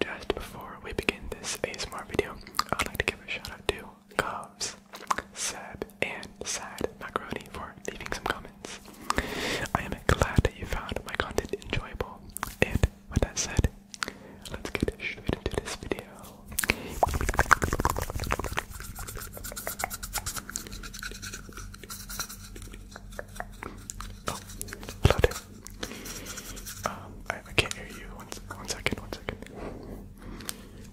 Just before we begin this ASMR video, I'd like to give a shout out to Cubs, Seb, and Sad Macaroni for leaving some comments. I am glad that you found my content enjoyable. And with that said, let's get straight into this video. Oh, um, I, can't hear you. one second, one second.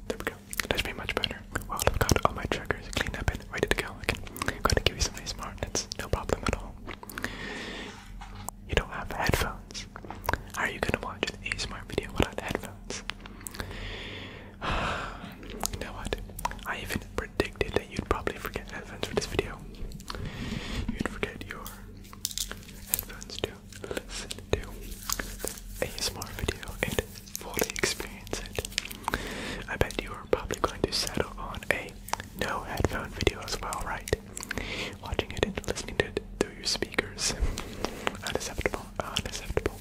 There we go. That should be much better. Well, I've got all my triggers cleaned up and ready to go. I can go and give you some nice martinets. No problem at all. You don't have headphones. How are you gonna watch an ASMR video without headphones? you know what? I even predicted you'd probably forget headphones for this video. You'd forget your headphones to listen to the ASMR video and fully experience it. I bet you are probably going to settle on a no headphone video as well, right? Watching it and listening to it through your speakers. Unacceptable, unacceptable.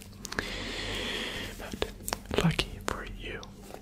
But lucky for you,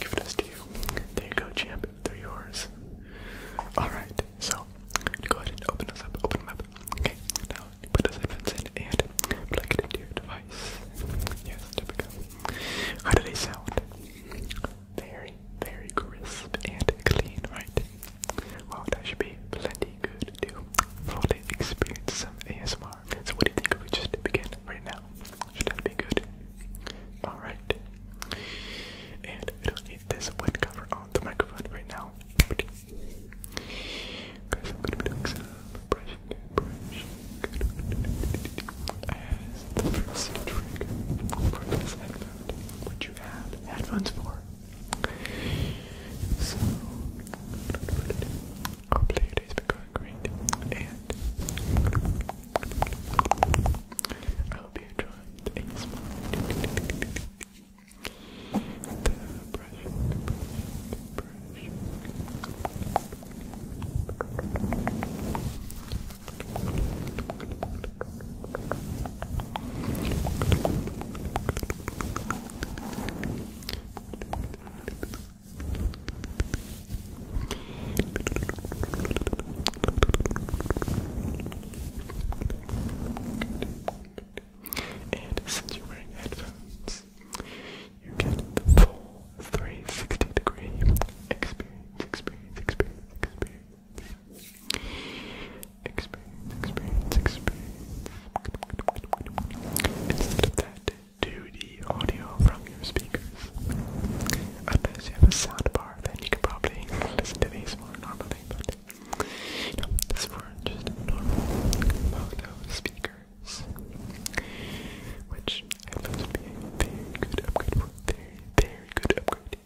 Give this to you. There you go, champ. They're yours. Alright, so go ahead and open this up. Open them up. Okay, now put those headphones in and plug it into your device. Yes, there we go. How do they sound? Very, very crisp and clean, right? Well, that should be plenty good to fully experience some ASMR. So what do you think if we just begin right now? Should that be good? Alright. And I don't need this wood cover on the microphone right now. Because I'm gonna be doing some brushing, brushing. the first trigger for this headphone, which you headphones for. So, hopefully your day's great, and I hope you a small the brushing, brushing, brushing. And since you're wearing headphones, you get the full 360 degree experience, experience, experience, experience. Experience, experience, to the audio from your speakers. Unless you have a soundbar, then you can probably listen to these more normally, but this were just normal mono speakers, which I found to be a very good upgrade very, very good upgrade,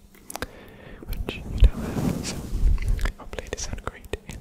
which you now have, uh, so hopefully they sound great in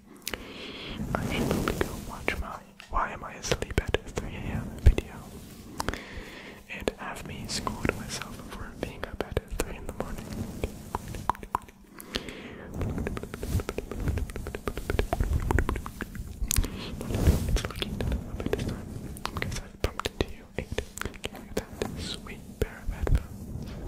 are able to go watch my Why Am I Asleep at 3am video and have me scold myself for being up at 3 in the morning. It's looking up at this time because i bumped into Eight. that sweet pair experience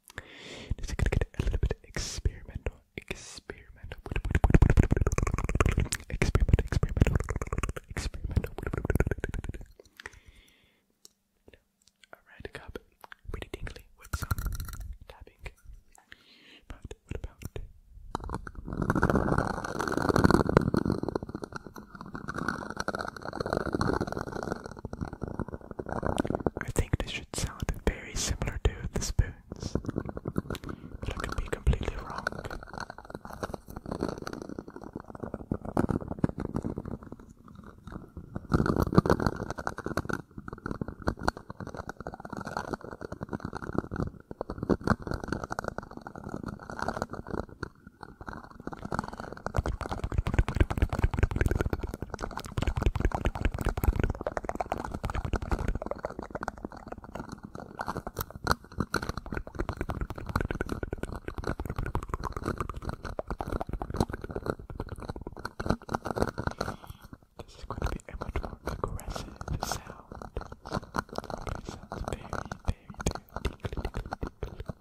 Just gonna get a little bit experimental, experimental, experimental, experimental, experimental. A red cup, pretty tingly with some tapping. But what about? I think this should sound very similar to the spoons, could be completely wrong. This is going to be a much more aggressive sound. It sounds very, very, very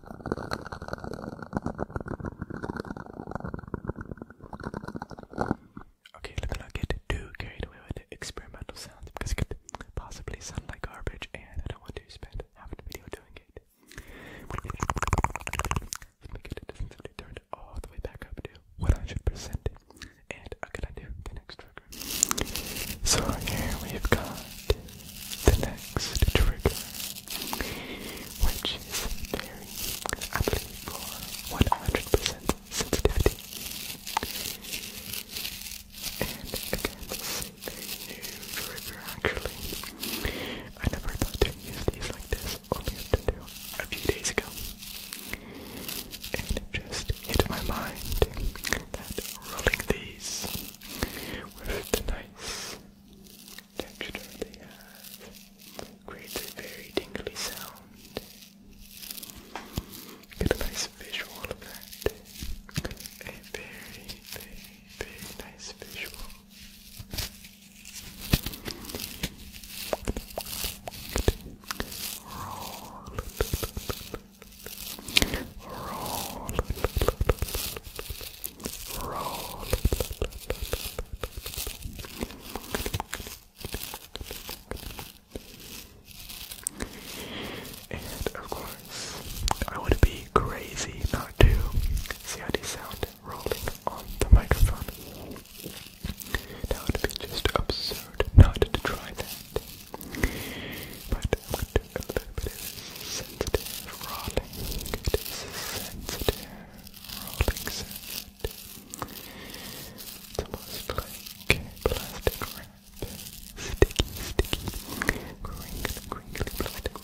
Okay, let's not get too carried away with experimental sounds because it could possibly sound like garbage, and I don't want to spend half the video doing it. Let's make it a all the way back up to 100%. And I'm going the next So here we've got the next trigger, which is very aptly for 100 sensitivity. And again, this is a very new trigger actually. I never thought to use these like this, only up until a few days ago. And just hit my mind that rolling these with the nice texture they creates a very tingly sound. Get a nice visual of that. A very, very, very nice visual. Roll. Roll. And of course, I would be crazy not to see how this sound rolling on the microphone. That would be just absurd not to try that. But I'm going to bit, a little bit sensitive rolling. It is sensitive rolling It's almost like plastic wrap. Sticky, sticky, crinkly, crinkly plastic wrap.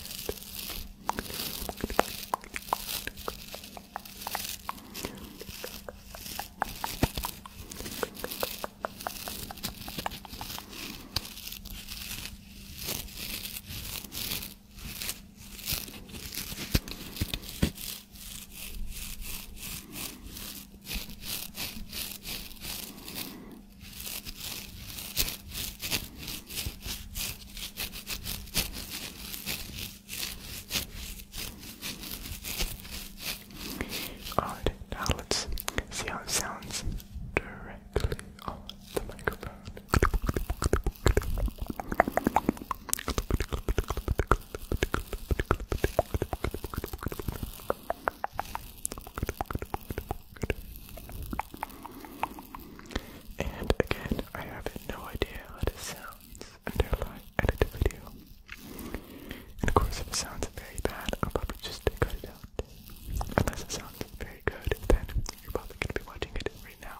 Alright, let's see how it sounds. And again, I have no idea how this sounds until I edit the video. And of course, if it sounds very bad, I'll probably just cut it sound. Unless it sounds very good, then you're probably going to be watching it right now.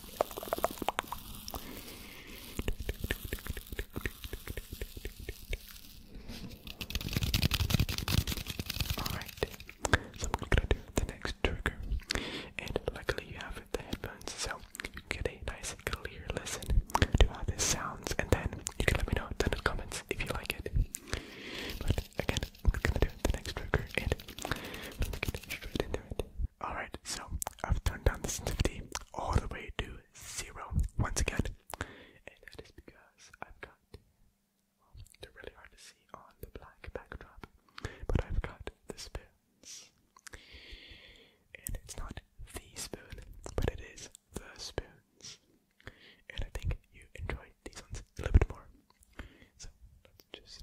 Alright, so I'm gonna do the next trigger. And luckily you have the headphones, so you get a nice clear listen to how this sounds and then you can let me know down in the comments if you like it again, I'm gonna do the next trigger and I'm gonna straight into it. Alright, so I've turned down the sensitivity all the way to zero once again. And that is because I've got well, really hard to see on the black backdrop. But I've got the spoons. And it's not the spoon, but it is the spoons. And I think you enjoy these ones a little bit more. So let's just.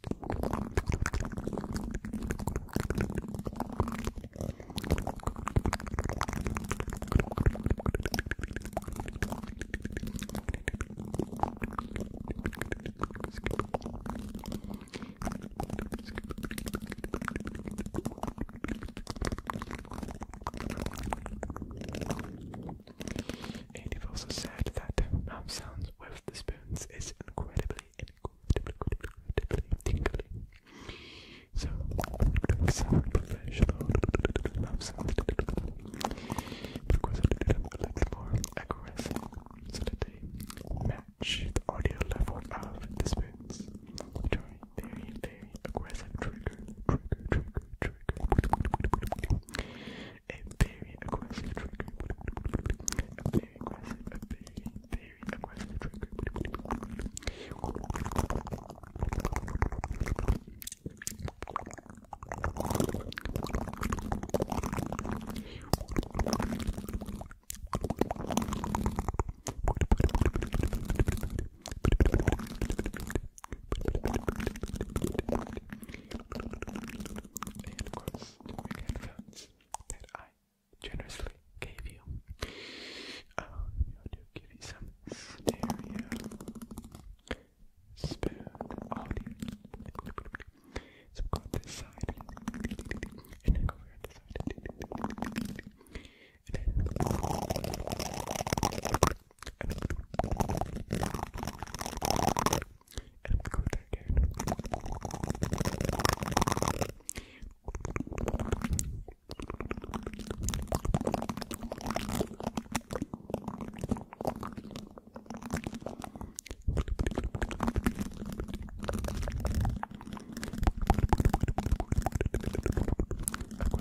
And have also said that mouth sounds with the spoons is incredibly, incredibly, incredibly tingling. So, sound professional mouth sounds because I did a little more aggressive so that they match the audio level of the spoons. Try very, very aggressive trigger, a very aggressive trigger. A very aggressive, a very, very aggressive trigger. Very and of course, the weekend films that I generously gave you. Uh, I do give you some stereo spoon audio. So go on this side, and then go over on this side, and then. And I'm gonna go there again. Aggressive, aggressive, aggressive.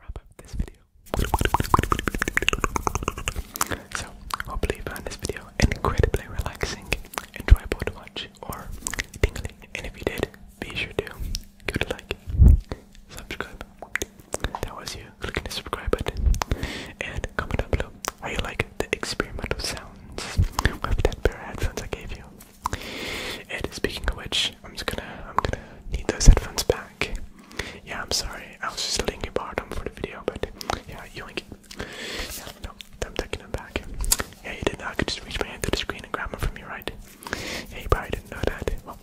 wrap up this video. So, hopefully found this video incredibly relaxing, enjoyable watch, or And if you did, be sure to give it like, subscribe. That was you clicking the subscribe button. And comment down below how you like the experimental sounds with that pair of headphones I gave you. And speaking of which, I'm just gonna I'm gonna need those headphones back. Yeah, I'm sorry. I was just thinking about them for the video, but yeah, you Yeah, no, I'm taking them back. Yeah, you didn't. I could just reach my hand to the screen and grab them from you, right? Yeah, you probably didn't know that. Well,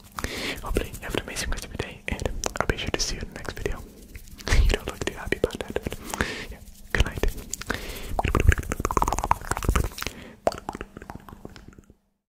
hopefully, you have an amazing rest of your day, and I'll be sure to see you in the next video. you don't look too happy about that. yeah, good night.